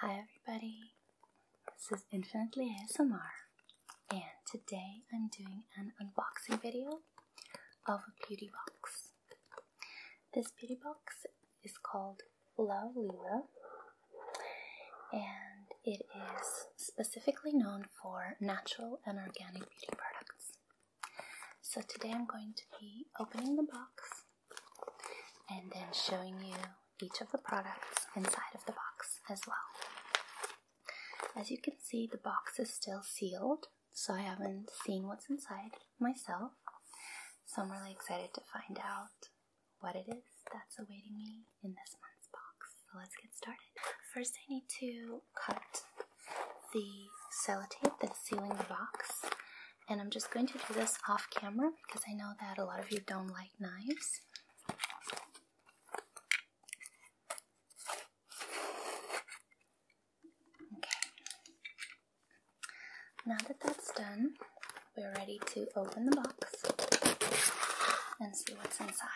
Hi everybody, this is Infinitely ASMR and today I'm doing an unboxing video of a beauty box. This beauty box is called La Lila, and it is specifically known for natural and organic beauty products. So today I'm going to be opening the box and then showing you each of the products inside of the box as well. As you can see, the box is still sealed, so I haven't seen what's inside myself. So I'm really excited to find out what it is that's awaiting me in this month's box. So let's get started. First, I need to cut the sellotape that's sealing the box. And I'm just going to do this off camera because I know that a lot of you don't like knives. Okay. Now that that's done, we're ready to open the box and see what's inside.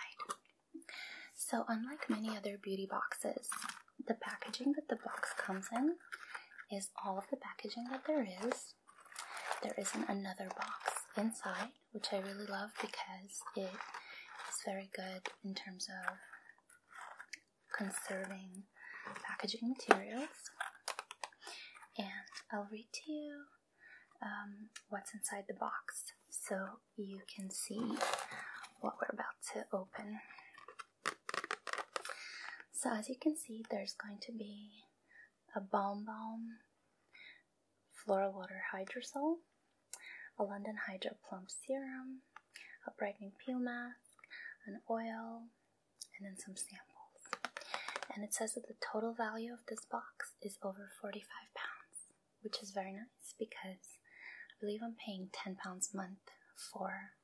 So, unlike many other beauty boxes, the packaging that the box comes in is all of the packaging that there is. There isn't another box inside, which I really love because it is very good in terms of conserving packaging materials. And I'll read to you um, what's inside the box so you can see what we're about to open. So as you can see, there's going to be a Balm Balm Floral Water Hydrosol, a London Hydro Plump Serum, a Brightening Peel Mask, an oil, and then some samples. And it says that the total value of this box is over 45 pounds, which is very nice because I believe I'm paying 10 pounds a month for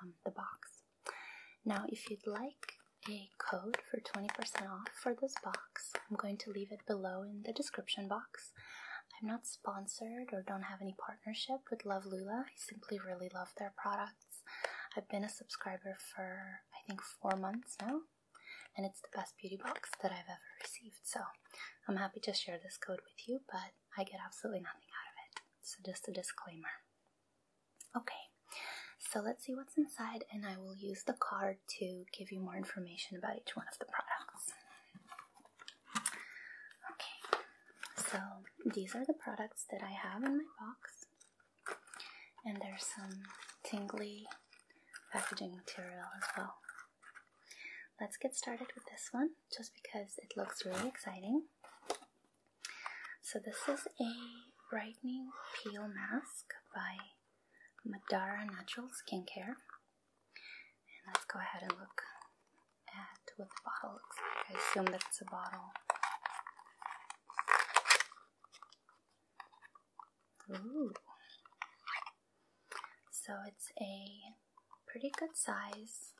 um, the box. Now, if you'd like a code for 20% off for this box, I'm going to leave it below in the description box. I'm not sponsored or don't have any partnership with Love Lula. I simply really love their products. I've been a subscriber for I think four months now, and it's the best beauty box that I've ever received. So I'm happy to share this code with you, but I get absolutely nothing out of it. So, just a disclaimer. Okay, so let's see what's inside, and I will use the card to give you more information about each one of the products. Okay, so these are the products that I have in my box, and there's some tingly packaging material as well let's get started with this one just because it looks really exciting. So, this is a brightening peel mask by Madara Natural Skincare. And let's go ahead and look at what the bottle looks like. I assume that it's a bottle. Ooh. So it's a pretty good size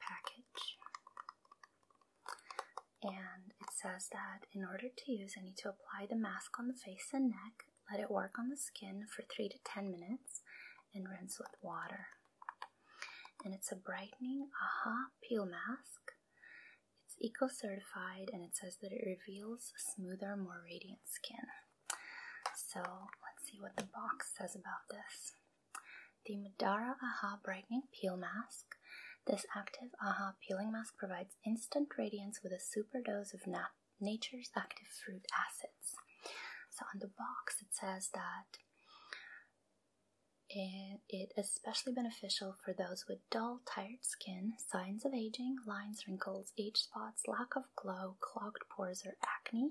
package. And it says that in order to use, I need to apply the mask on the face and neck, let it work on the skin for 3 to 10 minutes, and rinse with water. And it's a brightening AHA peel mask. It's eco certified and it says that it reveals smoother, more radiant skin. So let's see what the box says about this. The Madara Aha Brightening Peel Mask. This active Aha peeling mask provides instant radiance with a super dose of nature's active fruit acids. So on the box it says that it is especially beneficial for those with dull, tired skin, signs of aging, lines, wrinkles, age spots, lack of glow, clogged pores, or acne.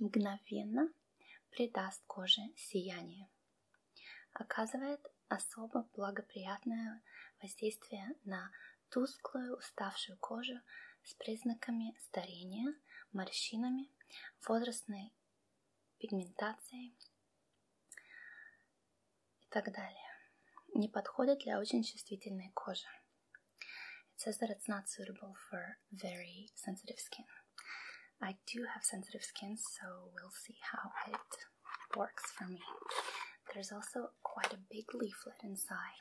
мгновенно придаст коже сияние. Оказывает особо благоприятное воздействие на тусклую уставшую кожу с признаками старения, морщинами, возрастной пигментацией и так далее. Не подходит для очень чувствительной кожи. It says that it's not suitable for very sensitive skin. I do have sensitive skin, so we'll see how it works for me. There's also quite a big leaflet inside.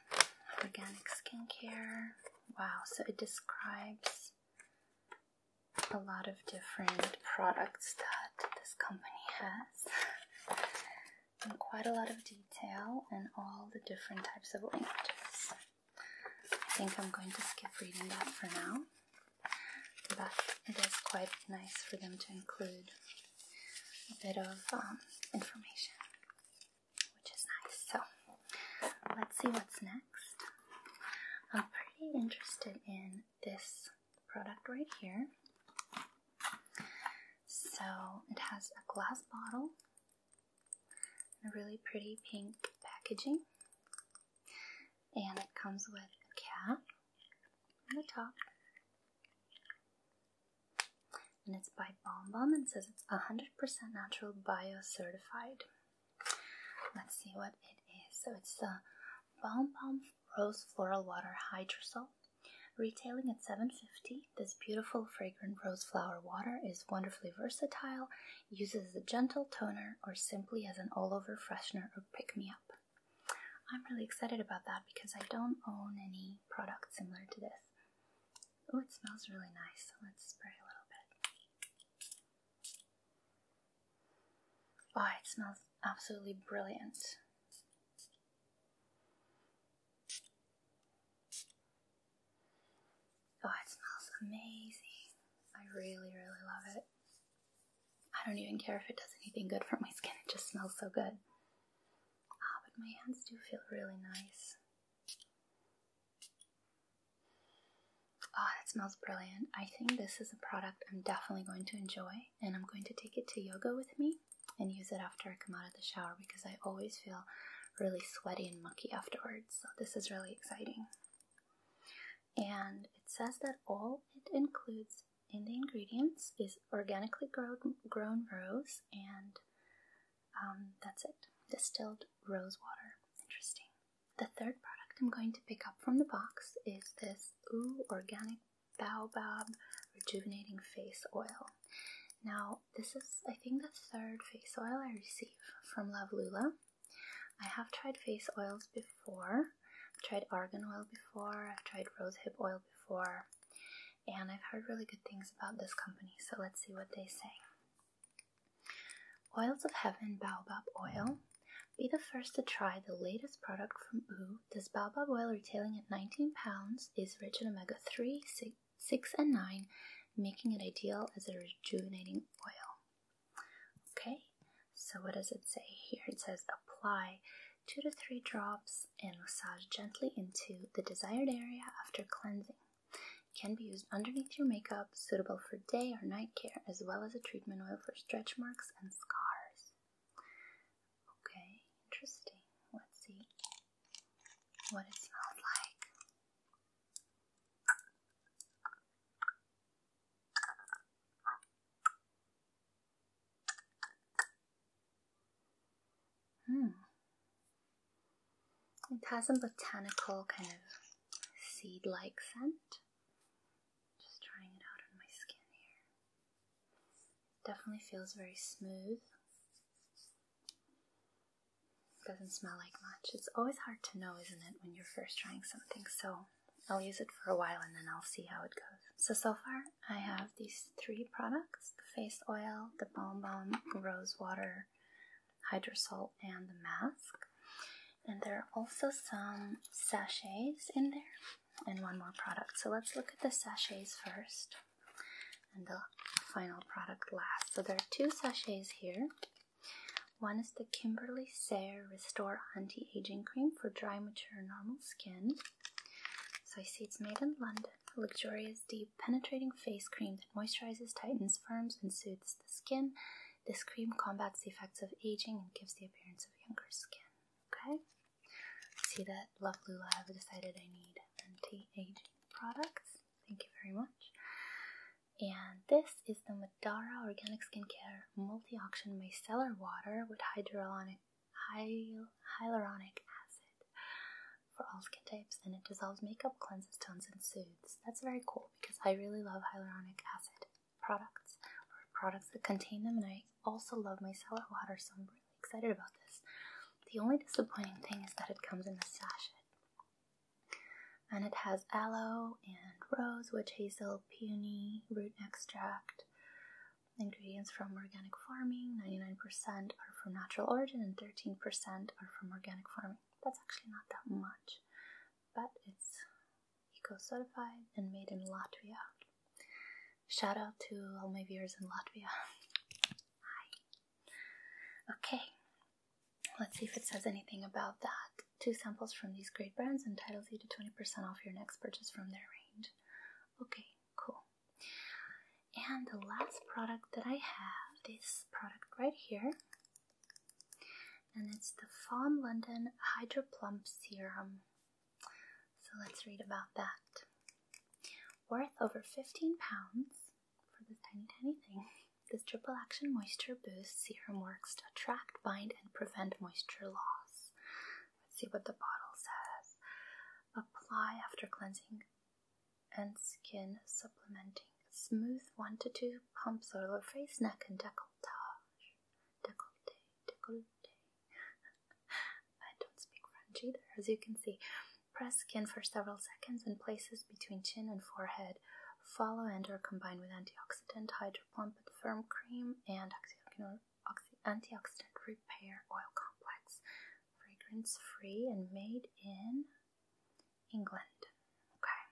Organic skincare. Wow, so it describes a lot of different products that this company has in quite a lot of detail and all the different types of oranges. I think I'm going to skip reading that for now, but it is quite nice for them to include a bit of um, information, which is nice. So, let's see what's next. I'm pretty interested in this product right here. So, it has a glass bottle a really pretty pink packaging. And it comes with a cap on the top. And it's by Bomb Bomb and says it's 100% natural bio certified. Let's see what it is. So it's the Bomb Bomb Rose Floral Water Hydrosol, retailing at 7.50 this beautiful fragrant rose flower water is wonderfully versatile, used as a gentle toner or simply as an all-over freshener or pick-me-up. I'm really excited about that because I don't own any product similar to this. Oh, it smells really nice. So let's spray a little bit. Oh, it smells absolutely brilliant. Oh, it smells amazing. I really, really love it. I don't even care if it does anything good for my skin, it just smells so good. Ah, but my hands do feel really nice. Ah, that smells brilliant. I think this is a product I'm definitely going to enjoy, and I'm going to take it to yoga with me and use it after I come out of the shower because I always feel really sweaty and mucky afterwards. So, this is really exciting. And it says that all it includes in the ingredients is organically grown, rose and um, that's it distilled rose water. Interesting. The third product I'm going to pick up from the box is this Ooh Organic Baobab Rejuvenating Face Oil. Now, this is, I think, the third face oil I receive from Lavlula. I have tried face oils before. I've tried argan oil before. I've tried rosehip oil before. And I've heard really good things about this company, so let's see what they say. Oils of Heaven Baobab Oil. Be the first to try the latest product from OO. This baobab oil retailing at £19 is rich in omega 3, 6 and 9, making it ideal as a rejuvenating oil. Okay, so what does it say here? It says apply 2 to 3 drops and massage gently into the desired area after cleansing. can be used underneath your makeup, suitable for day or night care, as well as a treatment oil for stretch marks and scars. Okay, interesting. Let's see what it smells like. Hmm. It has a botanical kind of seed like scent. Just trying it out on my skin here. Definitely feels very smooth doesn't smell like much. It's always hard to know, isn't it, when you're first trying something. So I'll use it for a while and then I'll see how it goes. So, so far I have these three products, the face oil, the Balm Balm Rose Water Hydrosol, and the mask. And there are also some sachets in there and one more product. So let's look at the sachets first and the final product last. So there are two sachets here. One is the Kimberly Sayre Restore Anti Aging Cream for dry, mature, normal skin. So I see it's made in London. luxurious, deep, penetrating face cream that moisturizes, tightens, firms, and soothes the skin. This cream combats the effects of aging and gives the appearance of younger skin. Okay? See that Love Lula, I've decided I need anti aging products. Thank you very much. And this is the Madara Organic Skincare Multi Action Micellar Water with hyaluronic, hyaluronic acid for all skin types, and it dissolves makeup, cleanses, tones, and soothes. That's very cool because I really love hyaluronic acid products or products that contain them, and I also love micellar water, so I'm really excited about this. The only disappointing thing is that it comes in a sachet and it has aloe and rose, witch hazel, peony, root extract. Ingredients from organic farming 99% are from natural origin, and 13% are from organic farming. That's actually not that much, but it's eco certified and made in Latvia. Shout out to all my viewers in Latvia. Hi. Okay, Let's see if it says anything about that. Two samples from these great brands entitles you to 20% off your next purchase from their range. Okay, cool. And the last product that I have, this product right here, and it's the Fawn London Hydro Plump Serum. So let's read about that. Worth over 15 pounds, for this tiny, tiny thing. This triple action moisture boost serum works to attract, bind, and prevent moisture loss. Let's see what the bottle says. Apply after cleansing and skin supplementing. Smooth one to two pumps over face, neck, and decolletage. Decollete, decollete. I don't speak French either, as you can see. Press skin for several seconds in places between chin and forehead. Follow and are combined with antioxidant hydropumped firm cream and antioxidant repair oil complex. Fragrance free and made in England. Okay.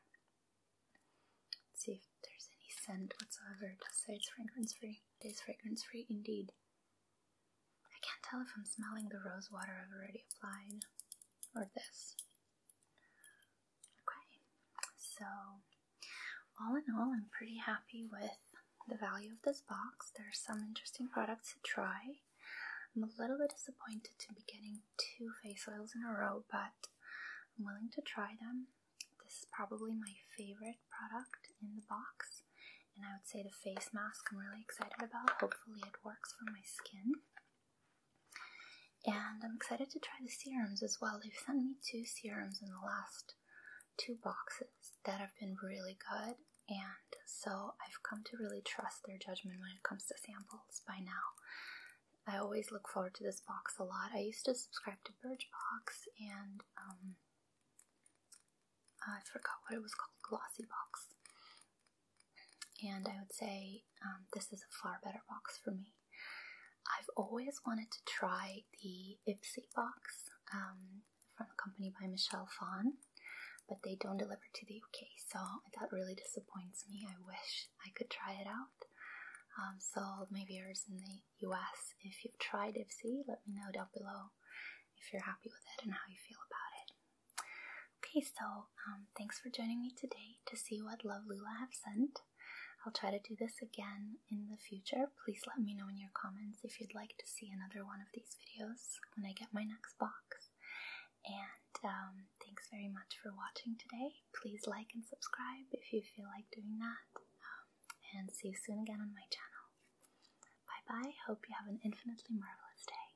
see if there's any scent whatsoever. It does say it's fragrance free. It is fragrance free indeed. I can't tell if I'm smelling the rose water I've already applied or this. Okay, so all in all, I'm pretty happy with the value of this box. There's some interesting products to try. I'm a little bit disappointed to be getting two face oils in a row, but I'm willing to try them. This is probably my favorite product in the box, and I would say the face mask I'm really excited about. Hopefully, it works for my skin. And I'm excited to try the serums as well. They've sent me two serums in the last two boxes that have been really good, and so I've come to really trust their judgment when it comes to samples by now. I always look forward to this box a lot. I used to subscribe to Birchbox and um, I forgot what it was called, Glossy Box and I would say um, this is a far better box for me. I've always wanted to try the Ipsy box um, from the company by Michelle Fawn, but they don't deliver to the UK, so that really disappoints me. I wish I could try it out. Um, so, my viewers in the US, if you've tried Ipsy, let me know down below if you're happy with it and how you feel about it. Okay, so um, thanks for joining me today to see what Love Lula have sent. I'll try to do this again in the future. Please let me know in your comments if you'd like to see another one of these videos when I get my next box. And um, thanks very much for watching today. Please like and subscribe if you feel like doing that. Um, and see you soon again on my channel. Bye bye. Hope you have an infinitely marvelous day.